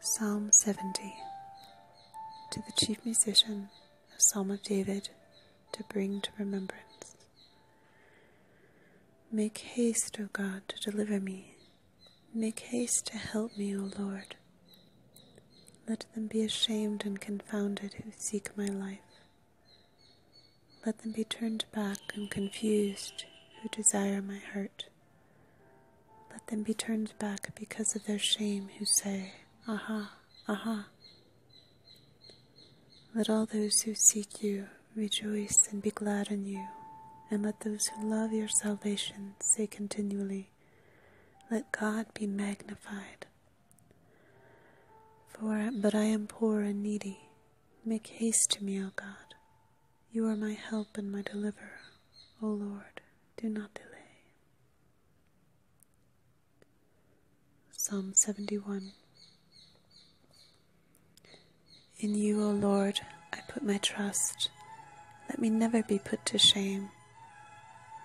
Psalm 70 To the chief musician, a psalm of David to bring to remembrance. Make haste, O God, to deliver me. Make haste to help me, O Lord. Let them be ashamed and confounded who seek my life. Let them be turned back and confused who desire my hurt. Let them be turned back because of their shame who say, Aha, aha. Let all those who seek you rejoice and be glad in you, and let those who love your salvation say continually, Let God be magnified. For but I am poor and needy. Make haste to me, O God. You are my help and my deliverer. O Lord, do not delay. Psalm 71 In you, O Lord, I put my trust. Let me never be put to shame.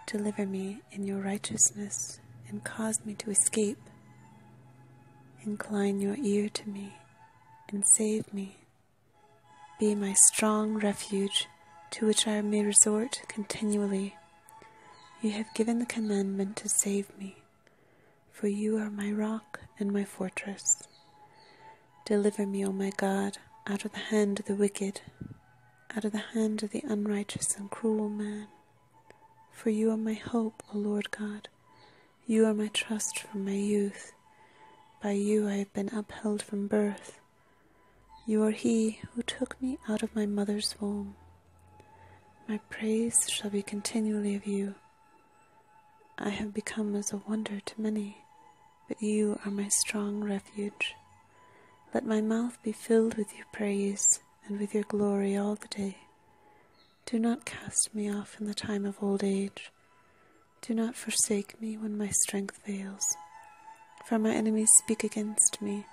Deliver me in your righteousness and cause me to escape. Incline your ear to me and save me. Be my strong refuge to which I may resort continually. You have given the commandment to save me, for you are my rock and my fortress. Deliver me, O my God, out of the hand of the wicked, out of the hand of the unrighteous and cruel man. For you are my hope, O Lord God, you are my trust from my youth. By you I have been upheld from birth. You are he who took me out of my mother's womb. My praise shall be continually of you. I have become as a wonder to many, but you are my strong refuge. Let my mouth be filled with your praise and with your glory all the day. Do not cast me off in the time of old age. Do not forsake me when my strength fails. For my enemies speak against me,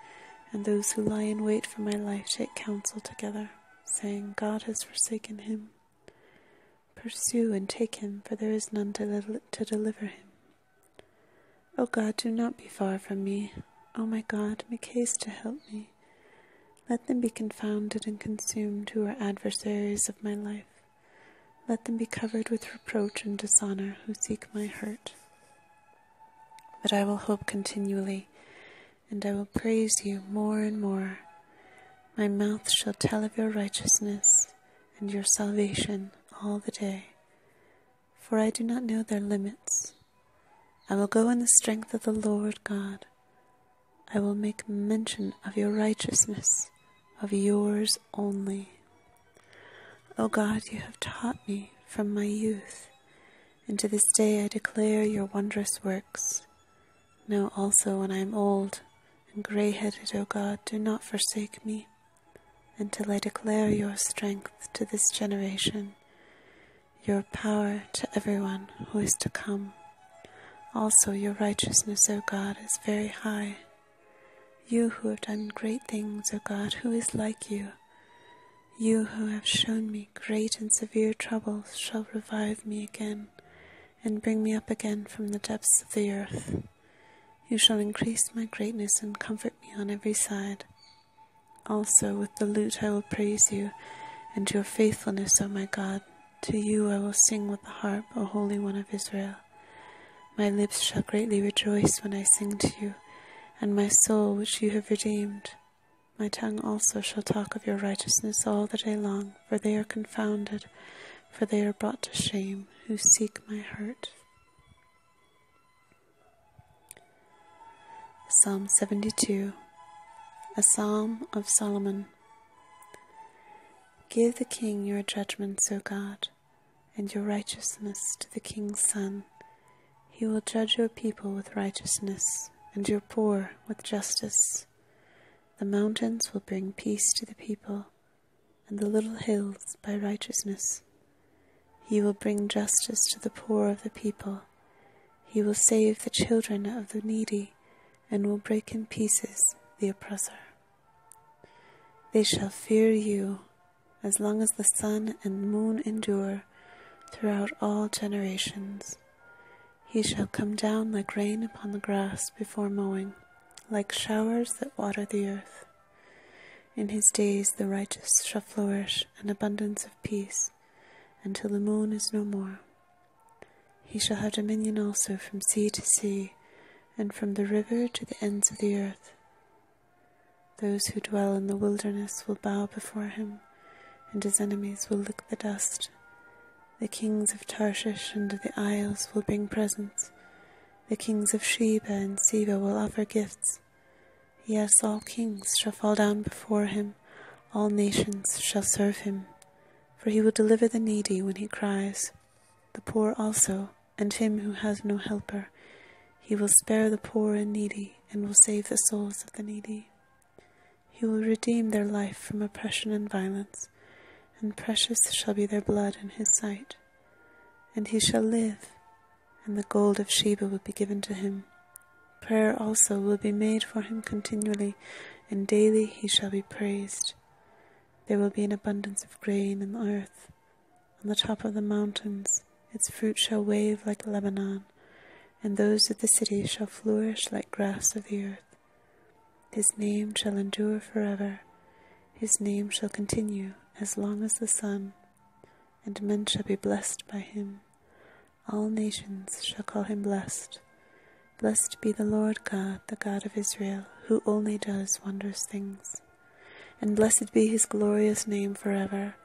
and those who lie in wait for my life take counsel together, saying, God has forsaken him. Pursue and take him, for there is none to, to deliver him. O God, do not be far from me. O my God, make haste to help me. Let them be confounded and consumed who are adversaries of my life. Let them be covered with reproach and dishonor who seek my hurt. But I will hope continually, and I will praise you more and more. My mouth shall tell of your righteousness and your salvation all the day, for I do not know their limits. I will go in the strength of the Lord God. I will make mention of your righteousness, of yours only. O God, you have taught me from my youth, and to this day I declare your wondrous works. Now also, when I am old and gray headed, O God, do not forsake me until I declare your strength to this generation your power to everyone who is to come. Also, your righteousness, O God, is very high. You who have done great things, O God, who is like you? You who have shown me great and severe troubles shall revive me again and bring me up again from the depths of the earth. You shall increase my greatness and comfort me on every side. Also, with the lute I will praise you, and your faithfulness, O my God. To you I will sing with the harp, O Holy One of Israel. My lips shall greatly rejoice when I sing to you, and my soul, which you have redeemed. My tongue also shall talk of your righteousness all the day long, for they are confounded, for they are brought to shame, who seek my hurt. Psalm 72, a psalm of Solomon. Give the king your judgments, O God, and your righteousness to the king's son. He will judge your people with righteousness, and your poor with justice. The mountains will bring peace to the people, and the little hills by righteousness. He will bring justice to the poor of the people he will save the children of the needy and will break in pieces the oppressor. They shall fear you as long as the sun and moon endure throughout all generations. He shall come down like rain upon the grass before mowing, like showers that water the earth. In his days the righteous shall flourish, an abundance of peace days, until the moon is no more. He shall have dominion also from sea to sea, and from the river to the ends of the earth. Those who dwell in the wilderness will bow before him, and his enemies will lick the dust. The kings of Tarshish and of the isles will bring presents. The kings of Sheba and Seba will offer gifts. Yes, all kings shall fall down before him all nations shall serve him. For he will deliver the needy when he cries, the poor also, and him who has no helper. He will spare the poor and needy, and will save the souls of the needy. He will redeem their life from oppression and violence, and precious shall be their blood in his sight. And he shall live, and the gold of Sheba will be given to him Prayer also will be made for him continually, and daily he shall be praised. There will be an abundance of grain in the earth. On the top of the mountains, its fruit shall wave like Lebanon, and those of the cities shall flourish like grass of the earth. His name shall endure forever, his name shall continue as long as the sun, and men shall be blessed by him all nations shall call him blessed. Blessed be the Lord God, the God of Israel, who only does wondrous things. And blessed be his glorious name forever,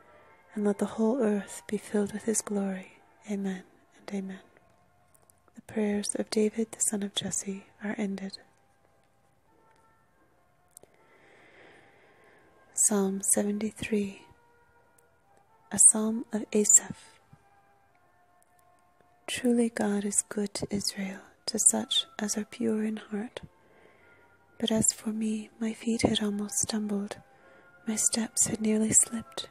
and let the whole earth be filled with his glory. Amen and amen. The prayers of David the son of Jesse are ended. Psalm 73 a Psalm of Asaph. Truly, God is good to Israel, to such as are pure in heart. But as for me, my feet had almost stumbled, my steps had nearly slipped,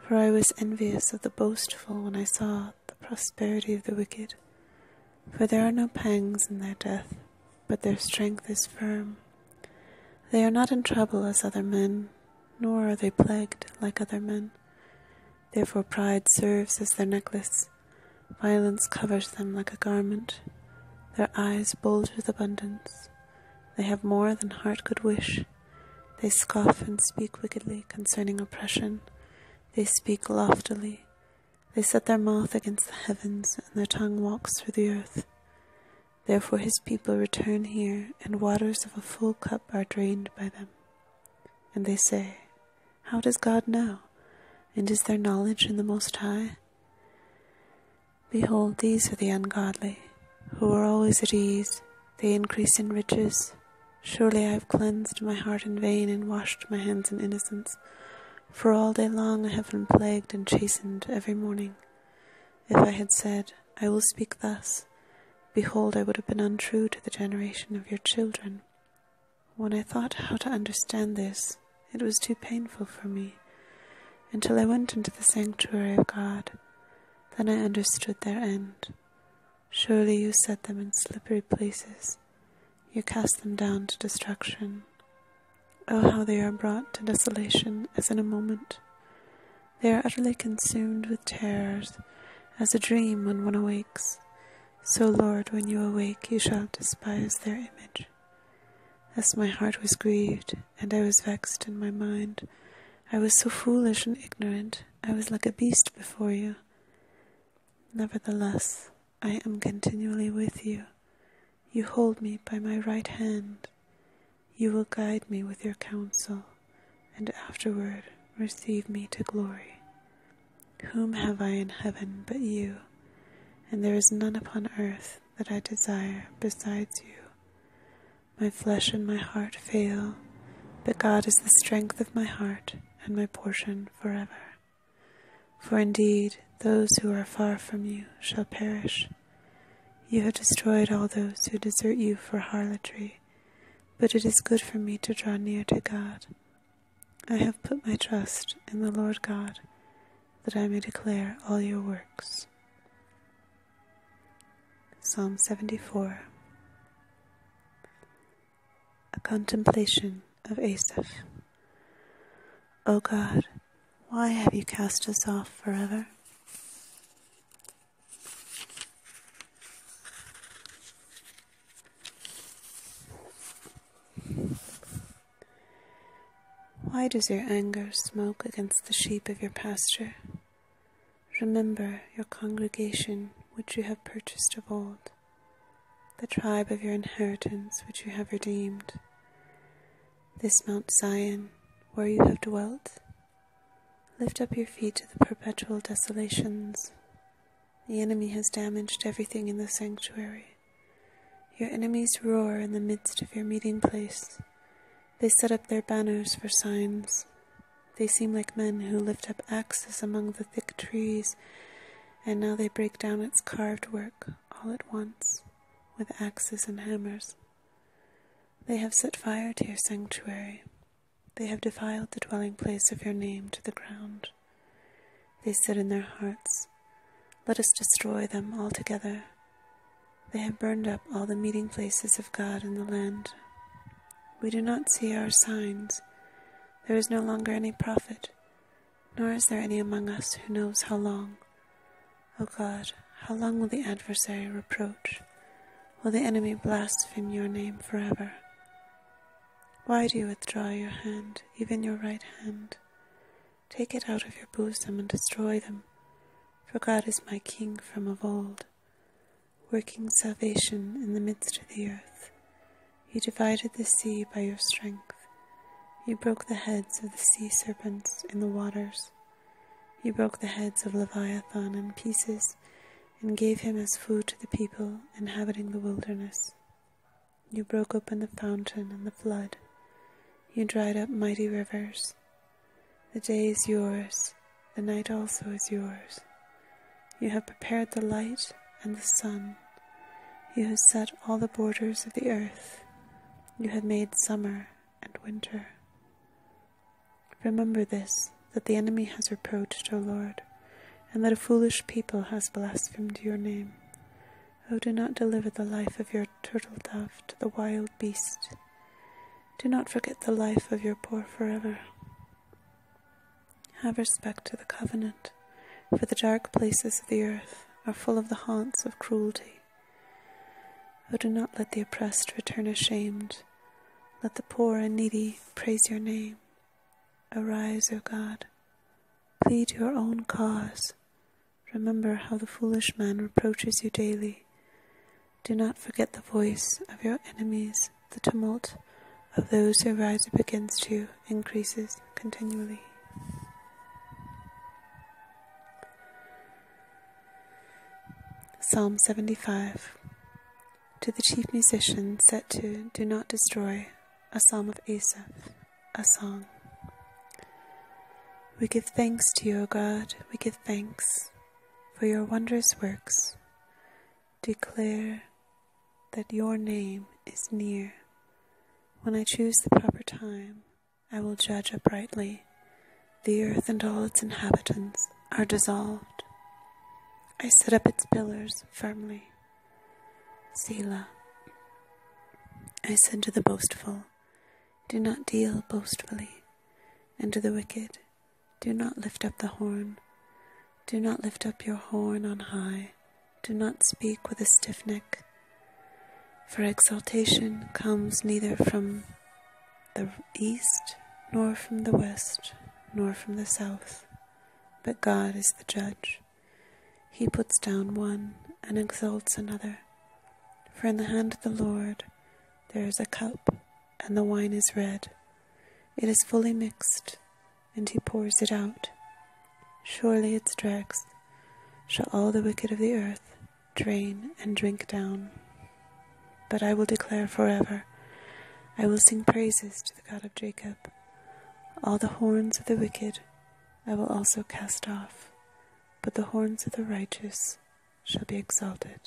for I was envious of the boastful when I saw the prosperity of the wicked, for there are no pangs in their death, but their strength is firm. They are not in trouble as other men, nor are they plagued like other men. Therefore, pride serves as their necklace, violence covers them like a garment. Their eyes bulge with abundance. They have more than heart could wish. They scoff and speak wickedly concerning oppression. They speak loftily. They set their mouth against the heavens, and their tongue walks through the earth. Therefore his people return here, and waters of a full cup are drained by them. And they say, How does God know? And is there knowledge in the Most High? Behold, these are the ungodly, who are always at ease. They increase in riches. Surely I have cleansed my heart in vain and washed my hands in innocence. For all day long I have been plagued and chastened every morning. If I had said, I will speak thus, behold, I would have been untrue to the generation of your children. When I thought how to understand this, it was too painful for me, until I went into the sanctuary of God. Then I understood their end. Surely you set them in slippery places, you cast them down to destruction. Oh, how they are brought to desolation as in a moment. They are utterly consumed with terrors, as a dream when one awakes. So, Lord, when you awake, you shall despise their image. As my heart was grieved, and I was vexed in my mind, I was so foolish and ignorant, I was like a beast before you. Nevertheless, I am continually with you. You hold me by my right hand. You will guide me with your counsel, and afterward receive me to glory. Whom have I in heaven but you? And there is none upon earth that I desire besides you. My flesh and my heart fail, but God is the strength of my heart and my portion forever. For indeed, those who are far from you shall perish you have destroyed all those who desert you for harlotry, but it is good for me to draw near to God. I have put my trust in the Lord God, that I may declare all your works. Psalm 74 A Contemplation of Asaph. O oh God, why have you cast us off forever? Why does your anger smoke against the sheep of your pasture? Remember your congregation which you have purchased of old, the tribe of your inheritance which you have redeemed this Mount Zion, where you have dwelt. Lift up your feet to the perpetual desolations. The enemy has damaged everything in the sanctuary. Your enemies roar in the midst of your meeting place. They set up their banners for signs. They seem like men who lift up axes among the thick trees, and now they break down its carved work all at once with axes and hammers. They have set fire to your sanctuary. They have defiled the dwelling place of your name to the ground. They sit in their hearts, Let us destroy them altogether. They have burned up all the meeting places of God in the land. We do not see our signs. There is no longer any prophet nor is there any among us who knows how long. O God, how long will the adversary reproach? Will the enemy blaspheme your name forever? Why do you withdraw your hand, even your right hand? Take it out of your bosom and destroy them, for God is my King from of old, working salvation in the midst of the earth. You divided the sea by your strength. You broke the heads of the sea serpents in the waters. You broke the heads of Leviathan in pieces and gave him as food to the people inhabiting the wilderness. You broke open the fountain and the flood. You dried up mighty rivers. The day is yours, the night also is yours. You have prepared the light and the sun. You have set all the borders of the earth. You have made summer and winter. Remember this that the enemy has reproached, O Lord, and that a foolish people has blasphemed your name. O oh, do not deliver the life of your turtle dove to the wild beast. Do not forget the life of your poor forever. Have respect to the covenant for the dark places of the earth are full of the haunts of cruelty. Oh, do not let the oppressed return ashamed. Let the poor and needy praise your name. Arise, O God. Plead your own cause. Remember how the foolish man reproaches you daily. Do not forget the voice of your enemies, the tumult of those who rise up against you increases continually. Psalm 75 To the chief musician set to Do Not Destroy, a psalm of Asaph, a song. We give thanks to you, O God, we give thanks for your wondrous works. Declare that your name is near when I choose the proper time, I will judge uprightly. The earth and all its inhabitants are dissolved. I set up its pillars firmly. Selah. I said to the boastful, Do not deal boastfully, and to the wicked, Do not lift up the horn. Do not lift up your horn on high do not speak with a stiff neck, for exaltation comes neither from the east, nor from the west, nor from the south, but God is the judge. He puts down one and exalts another. For in the hand of the Lord there is a cup, and the wine is red. It is fully mixed, and he pours it out surely its dregs shall all the wicked of the earth drain and drink down. But I will declare for ever, I will sing praises to the God of Jacob. All the horns of the wicked I will also cast off, but the horns of the righteous shall be exalted.